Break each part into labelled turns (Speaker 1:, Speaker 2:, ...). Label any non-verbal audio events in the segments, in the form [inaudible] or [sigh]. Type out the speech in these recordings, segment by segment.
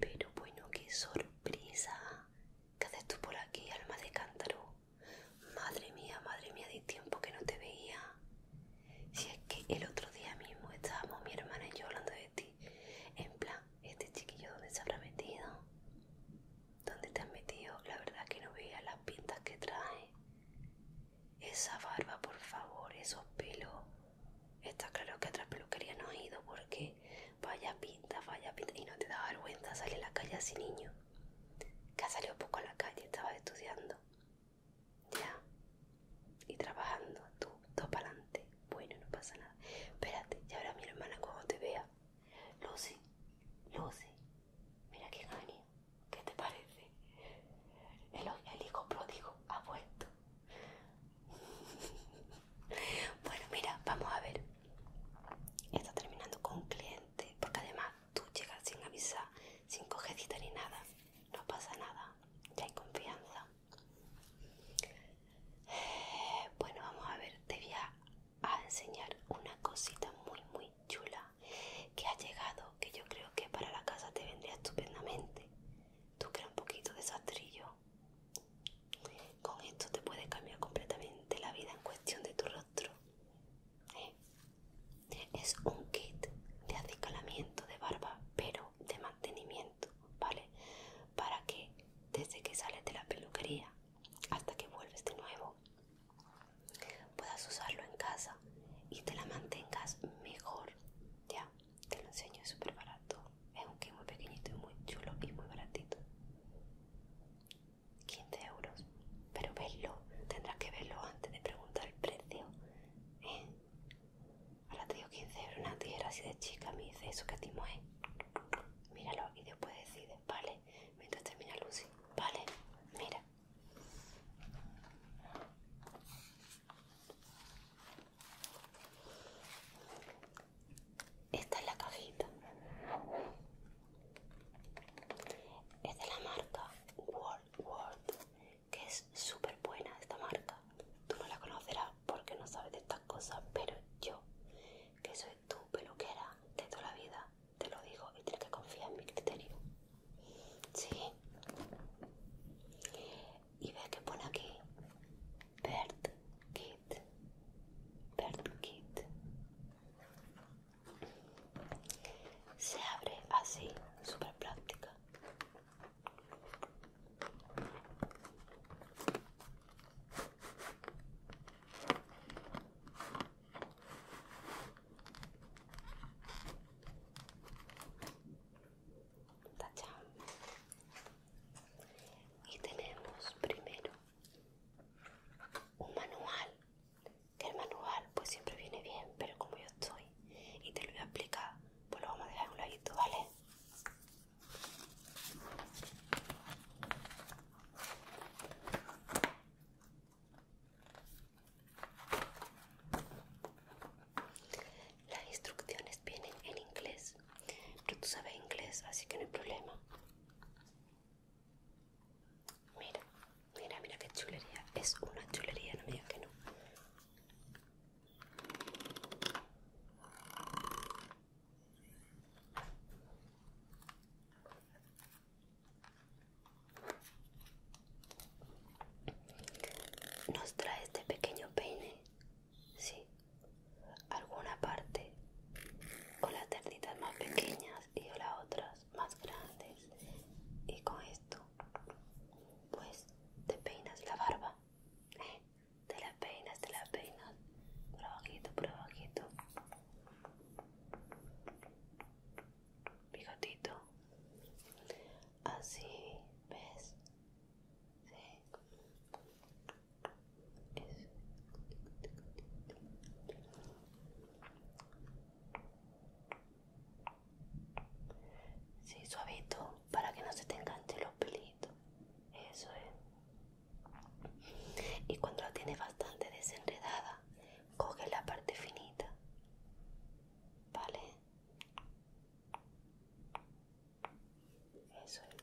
Speaker 1: Pero bueno, qué sorpresa ¿Qué haces tú por aquí, alma de cántaro? Madre mía, madre mía, de tiempo que no te veía. Si es que el otro día mismo estábamos mi hermana y yo hablando de ti. En plan, este chiquillo, ¿dónde se habrá metido? ¿Dónde te has metido? La verdad que no veía las pintas que trae. Esa barba, por favor, esos pelos. Está claro que a peluquería no has ido porque Vaya pinta, vaya pinta. Y no te da vergüenza salir a la calle así, niño. Que salió poco a la calle, estaba estudiando. Ya. Y trabajando, tú, todo para adelante. Bueno, no pasa nada. Espérate, Y ahora mi hermana cuando te vea. Lucy, Lucy, mira qué ha ¿Qué te parece? El, el hijo pródigo ha vuelto. [laughs] bueno, mira, vamos a ver está terminando con cliente, porque además tú llegas sin avisar, sin cogedita ni nada, no pasa nada, ya hay confianza. bueno, vamos a ver, te voy a, enseñar una cosita muy, muy chula que ha llegado, que yo creo que para la casa te vendría estupendamente. Tú creas un poquito de sastrillo con esto te puede cambiar completamente la vida en cuestión de tu rostro. ¿eh? Es un kit de acicalamiento de barba, pero de mantenimiento, ¿vale? Para que desde que sales de la peluquería hasta que vuelves de nuevo puedas usarlo en casa y te la mantengas mejor. Ya, te lo enseño, es súper barato es un kit muy pequeñito y muy chulo y muy baratito 15 euros pero verlo tendrás que verlo antes de preguntar el precio ¿eh? ahora te digo 15 euros una tijera así de chica me dice eso que timo mueve, míralo y después decides vale mientras termina Lucy vale mira esta es la cajita. Es de la marca World World, que es súper buena esta marca. Tú no la conocerás porque no sabes de estas cosas, pero yo, que soy tu peluquera de toda la vida, te lo digo y tienes que confiar en mi criterio. Sí. Y ves que pone aquí Bert Kit Bert kit, Se abre así, súper práctica. Tachán y tenemos primero un manual que el manual pues siempre viene bien pero como yo estoy y te lo voy a explicar pues lo vamos a dejar en un ladito vale las instrucciones vienen en inglés, pero tú sabes inglés, así que no hay problema. Mira, mira, mira qué chulería. Es una chulería, no me digas que no. Nos trae este pequeño peine, sí alguna parte con las ternitas más pequeñas y las otras más grandes y con esto pues te peinas la barba de [laughs] te la peinas te la peinas por abajo por abajito bigotito así ves eso. Sí, suavito, para que no se te enganche los pelitos. Eso es. Y cuando la tienes bastante desenredada, coge la parte finita. ¿Vale? Eso es.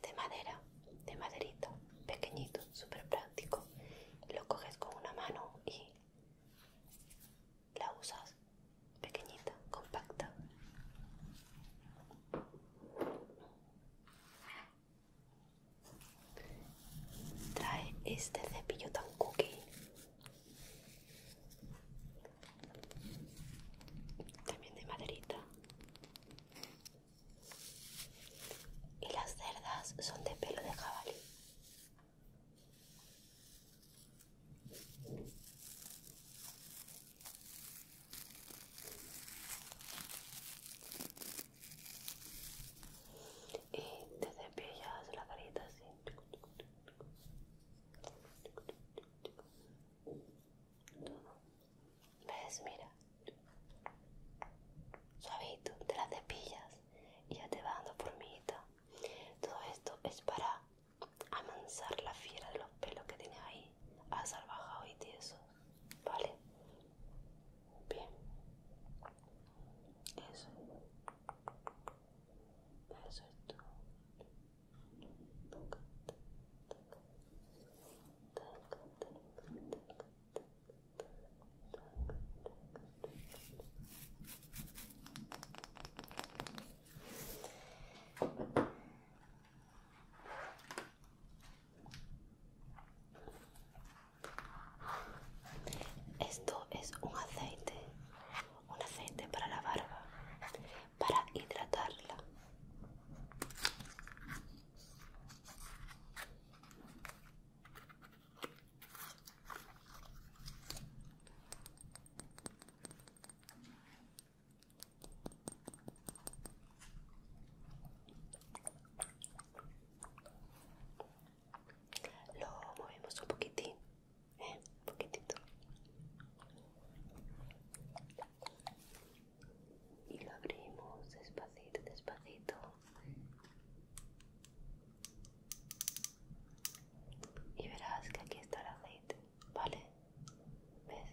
Speaker 1: de madera, de maderito, pequeñito, súper práctico. Lo coges con una mano y la usas pequeñita, compacta. Trae este cepillo tan cookie. También de maderita. Y las cerdas son de pelo de jabalí y te cepillas la carita así ves mira suavito te la cepillas y ya te va dando mí. todo esto es para amansar la fiera de los pelos que tienes ahí a salvajado y tieso Vale. Bien. Eso. Eso es todo. Esto es un aceite, un aceite para la barba, para hidratarla. Lo movemos un poquitín, ¿eh? un poquitito. Y lo abrimos despacito, despacito. Y verás que aquí está el aceite, ¿vale? ¿Ves?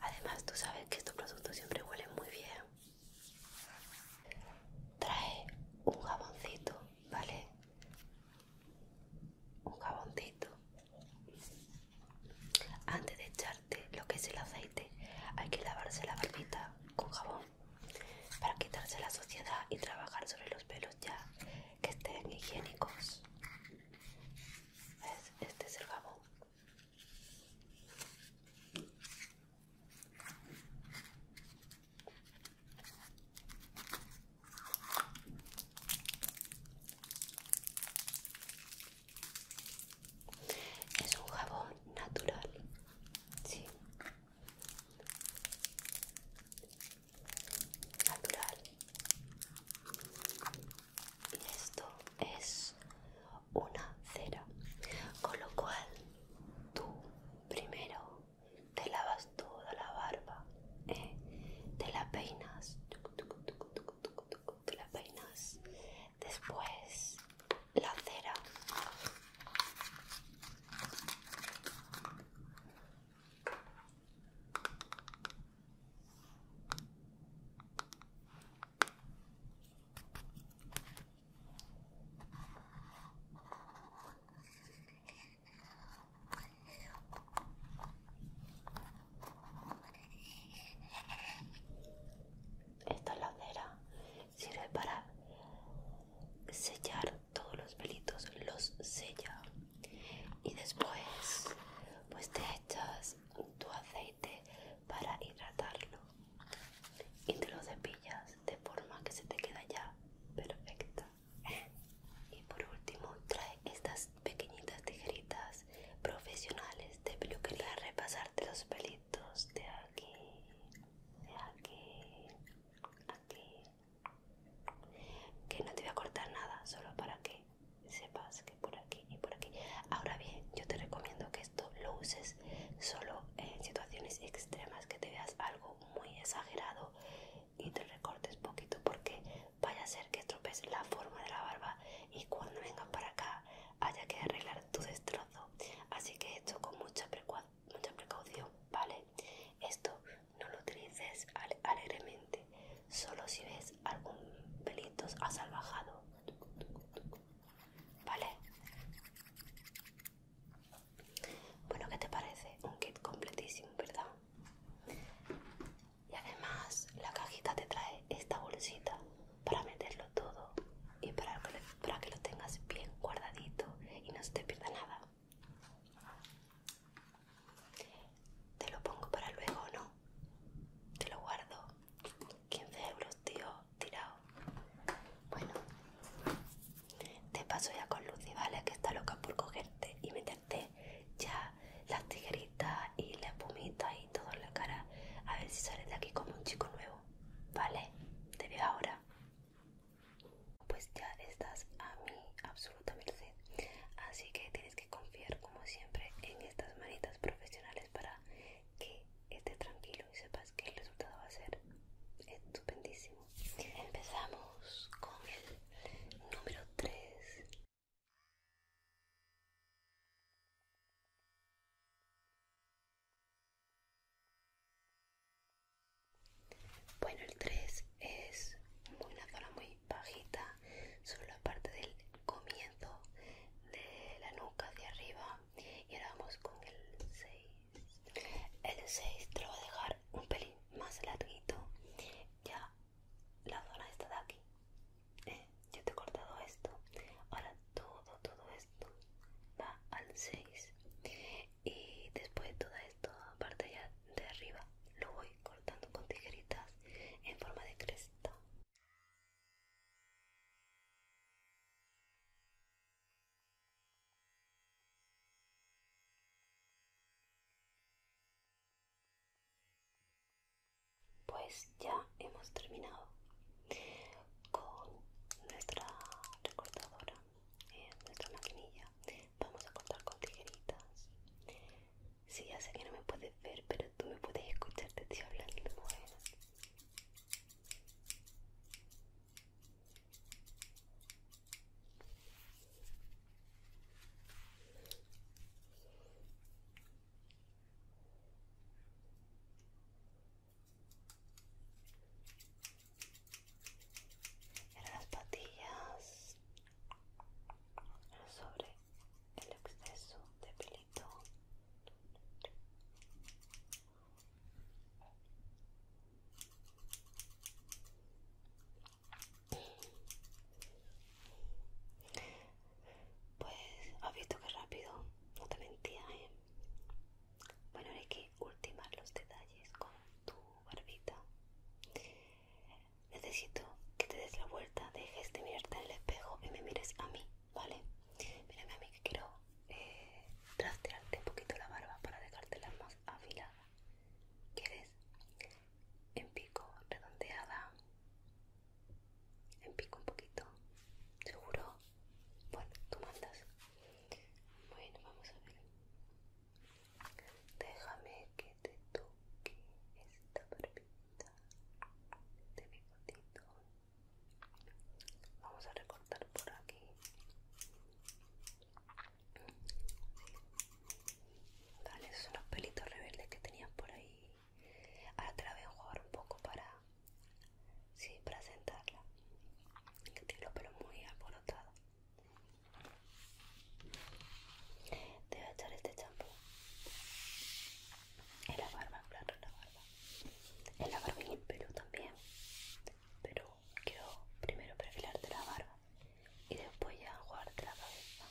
Speaker 1: Además, tú sabes que estos productos siempre huelen muy bien. Trae un jaboncito, ¿vale? Un jaboncito. Antes de echar lo que es el aceite hay que lavarse la barbita con jabón para quitarse la suciedad y trabajar sobre los pelos ya que estén higiénicos este es el jabón es un jabón natural. Natural. Y esto es una cera. Con lo cual tú primero te lavas toda la barba. ¿eh? Te la peinas. Te la peinas después la cera esta ladera sirve para sellar todos los pelitos, los sella. Y después, pues te echas tu aceite para hidratarlo y te lo cepillas de forma que se te queda ya perfecta. Y por último, trae estas pequeñitas tijeritas profesionales de peluquería a repasarte los pelitos de aquí, de aquí, aquí. Que no te voy a cortar nada, solo para que sepas que por aquí y por aquí. Ahora bien, yo te recomiendo que esto lo uses solo en situaciones extremas, que te veas algo muy exagerado y te recortes poquito porque vaya a ser que estropees la forma de la barba y cuando vengas para acá haya que arreglar tu destrozo. Así que esto con mucha, precaución, ¿vale? Esto no lo utilices alegremente, solo si ves algún pelitos asalvajado, ¿vale? Bueno, ¿qué te parece? Un kit completísimo, ¿verdad? Y además la cajita te trae esta bolsita para meterlo todo y para que, para que lo tengas bien guardadito y no se te pierda nada. Te lo pongo para luego, ¿no? Te lo guardo. 15 euros, tío, tirado. Bueno, te paso ya con Lucy, ¿vale? Que está loca por cogerte y meterte ya las tijeritas y la espumita y todo la cara. A ver si sales de aquí como un chico nuevo. ¿Vale? Te veo ahora. Pues ya estás a mi absoluta merced. Así que tienes que confiar como siempre en estas manitas profesionales para que estés tranquilo y sepas que el resultado va a ser estupendísimo. Empezamos con el número 3 bueno, el 3 es una zona muy bajita sobre la parte del comienzo de la nuca hacia arriba. Y ahora vamos con el 6. El 6 te lo voy a dejar un pelín más larguito. Ya la zona esta de aquí. Eh, yo te he cortado esto. Ahora todo, todo esto va al 6. Y después toda esta parte ya de arriba lo voy cortando con tijeritas en forma de cresta. Pues ya hemos terminado con nuestra recortadora, eh, nuestra maquinilla. Vamos a cortar con tijeritas. Sí, ya sé que no me puedes ver, pero tú me puedes escuchar, te estoy hablando. bien era las patillas sobre el exceso de pelito. Pues has visto que rápido, no te mentía, ¿eh? Bueno, ahora hay que ultimar los detalles con tu barbita. Necesito que te des la vuelta, dejes de mirarte en el espejo y me mires a mí, ¿vale? Mírame a mí que quiero eh, trastearte un poquito la barba para dejártela más afilada. ¿Quieres? en pico redondeada en pico un poquito seguro bueno tú mandas bueno vamos a ver déjame que te toque esta barbita de bigotito vamos a recortar por aquí Vale, esos son los pelitos rebeldes que tenía por ahí. Ahora te la a jugar un poco para. Sí, para sentarla. Que tiene los pelos muy alborotados. Te voy a echar este champú. En la barba, claro, en la barba. En la barba y en el pelo también. Pero quiero primero perfilarte la barba y después ya guarde la cabeza.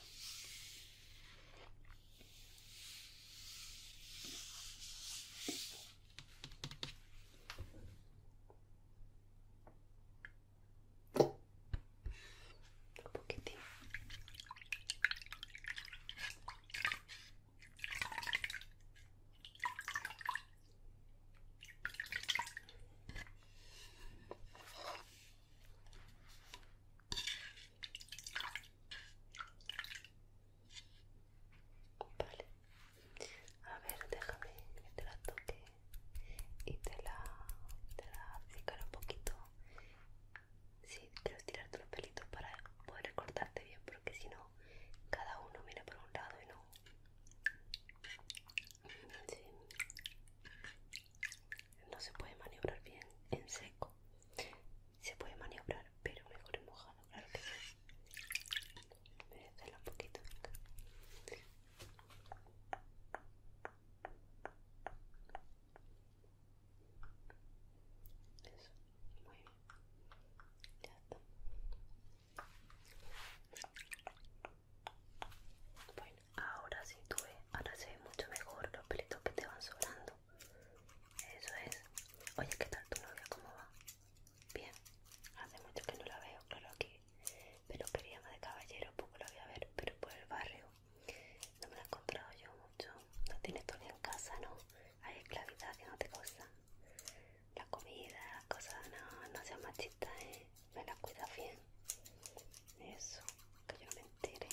Speaker 1: Un poquitín. Vale. A ver, déjame que te la toque y te la, te la un poquito. voy sí, tirar estirarte los pelitos para poder cortarte bien, porque si no, cada uno mira por un lado y no no se puede maniobrar bien en seco se puede maniobrar pero mejor en mojado claro que sí la un poquito acá. Eso, muy bien. Ya está. Bueno, ahora sí tuve, ahora se ve mucho mejor los pelitos que te van sobrando. Eso es. Oye, ¿qué tal tu novia? ¿Cómo va? Bien. Hace mucho que no la veo, claro aquí. Pero quería más de caballero, poco la voy a ver, pero por el barrio. No me la he encontrado yo mucho. No tienes todavía en casa, ¿no? Hay esclavidad que no te cosa. La comida, cosas, no, no seas machista, ¿eh? me la cuida bien. Eso, que yo me entere.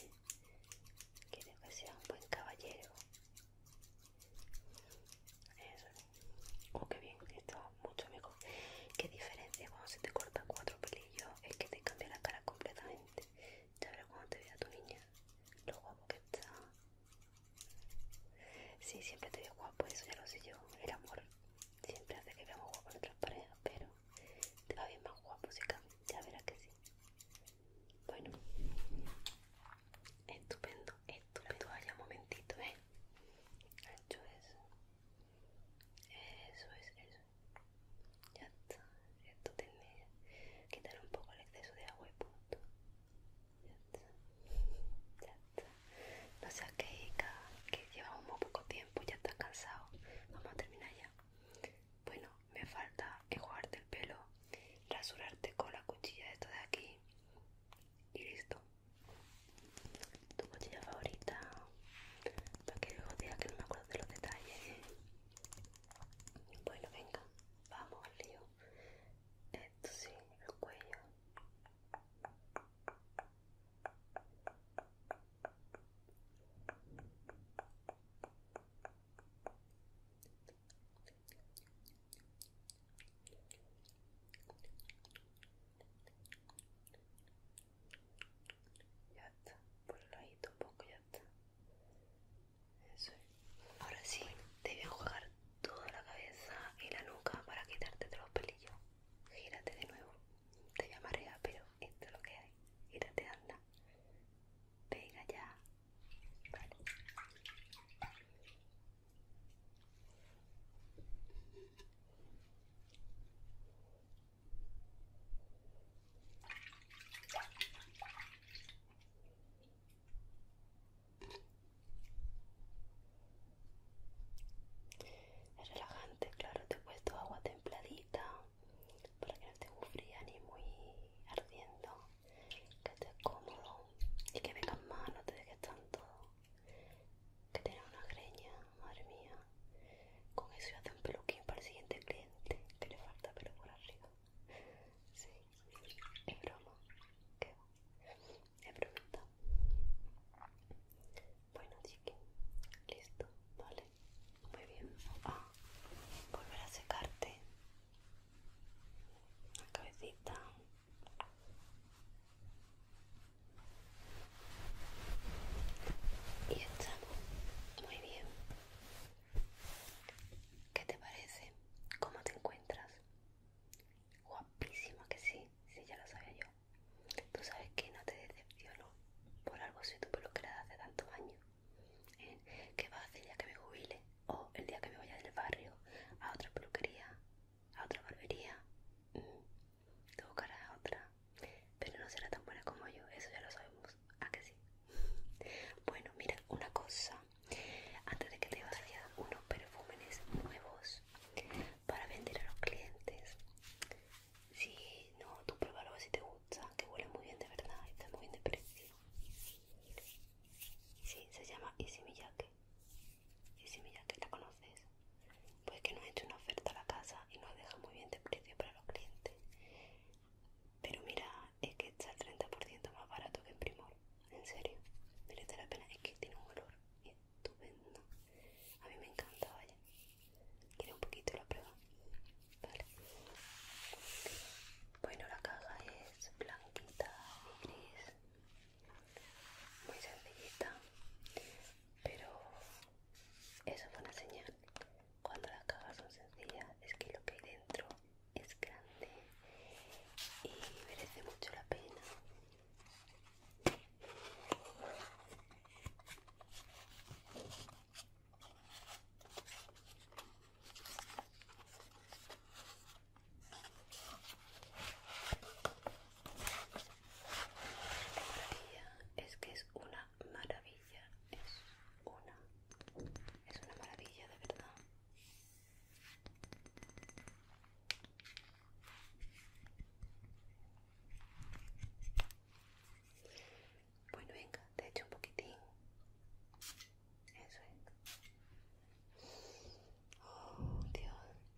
Speaker 1: Quiere que sea un buen caballero. Eso. Oh, qué bien, esto mucho amigo Qué diferencia cuando se te corta cuatro pelillos. Es que te cambia la cara completamente. Ya verás cuando te vea tu niña. Lo guapo que está. Sí, siempre te veo guapo, eso ya lo sé yo. El amor siempre hace que veamos guapo en otras parejas, pero te va bien más guapo, chica. Ya verás que sí. Bueno. Estupendo, estupendo. Vaya un momentito, ¿eh? Ancho, eso. Eso es, eso. Ya está. Esto que Quitar un poco el exceso de agua y punto. Ya está. [laughs] Ya está. No seas que llevamos muy poco tiempo, ya estás cansado. Vamos a terminar ya. Bueno, me falta enjuagarte el pelo, rasurarte con la cuchilla de esto de aquí y listo. Tu cuchilla favorita, para que luego que no me acuerdo de los detalles. Bueno, venga, vamos al lío. Esto sí, el cuello. Ya está, por el ladito un poco, ya está. Eso es. Ahora sí, te voy jugar toda la cabeza y la nuca para quitarte de los pelillos. Gírate de nuevo te llamaré, pero esto es lo que hay. te anda. Venga ya. Vale. Es relajante, claro, te he puesto agua templadita para que no esté muy fría ni muy ardiendo, que estés cómodo y que vengas más, no te dejes tanto, que tengas una greña, madre mía. Con eso te hace un peluquín para el siguiente cliente, que le falta pelo por arriba. Sí, broma. ¿Qué? he bromita bueno chiqui listo vale muy bien a ah, volver a secarte la cabecita y estamos muy bien ¿Qué te parece? ¿Cómo te encuentras? Guapísima que sí, sí ya lo sabía yo. Tú sabes que no te decepciono. Por algo si tu peluquera hace tantos años. ¿eh? ¿Qué va a hacer el que me jubile? O el día que me vaya del barrio a otra peluquería, a otra barbería. ¿eh? Te buscarás a otra. Pero no será tan buena como yo, eso ya lo sabemos. ¿A que sí? [laughs] bueno, mira, una cosa. Antes de que te vacíe unos perfúmenes nuevos para vender a los clientes. Si no, tú pruébalo si te gusta, que huele muy bien de verdad, Y está muy bien de precio. Sí, se llama Easy Miyake. ¿la conoces? Pues que nos ha hecho una oferta a la casa y nos deja muy bien de precio para los clientes. Pero mira, es que está el 30% más barato que en Primor. En serio, merece la pena. Es que tiene un olor estupendo. A mí me encanta, vaya. ¿Quiere un poquito la prueba? Vale. Bueno, la caja es blanquita y gris. Muy sencillita. Pero eso es una señal. Cuando las cajas son sencillas es que lo que hay dentro es grande y merece mucho la pena es que es una maravilla, es una, es una maravilla de verdad. Bueno, venga, te echo un poquitín. Eso es. Oh, Dios.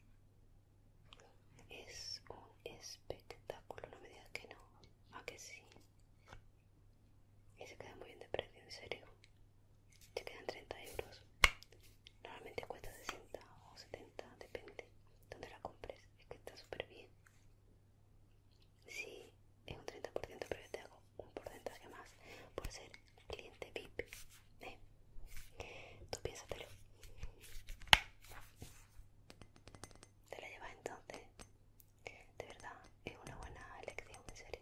Speaker 1: Es un espectáculo, no me digas que no. ¿A que sí? Y se queda muy bien de precio, en serio. Se quedan 30 euros. Normalmente cuesta 60 o 70, depende donde la compres. Es que está súper bien. Sí, es un 30%, pero yo te hago un porcentaje más por ser cliente VIP. ¿eh? Tú piénsatelo. Te la llevas entonces. De verdad, es una buena elección, en serio.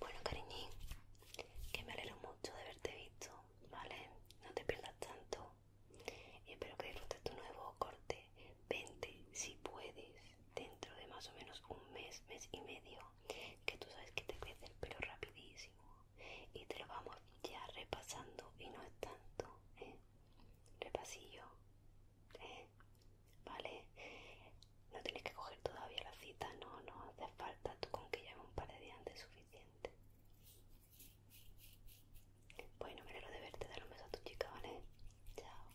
Speaker 1: Bueno, cariñín, que me alegro mucho de haberte visto, ¿vale? No te pierdas tanto y espero que disfrutes tu nuevo corte. Vente, si puedes, dentro de más o menos un mes, mes y medio, que tú sabes que te crece el pelo rapidísimo y te lo vamos ya repasando y no es tanto, ¿eh? Repasillo, ¿eh? ¿Vale? No tienes que coger todavía la cita, no, no hace falta Tato con que lleve un par de días de suficiente. Bueno, me lo de verte, dar un beso a tu chica, ¿vale? Chao.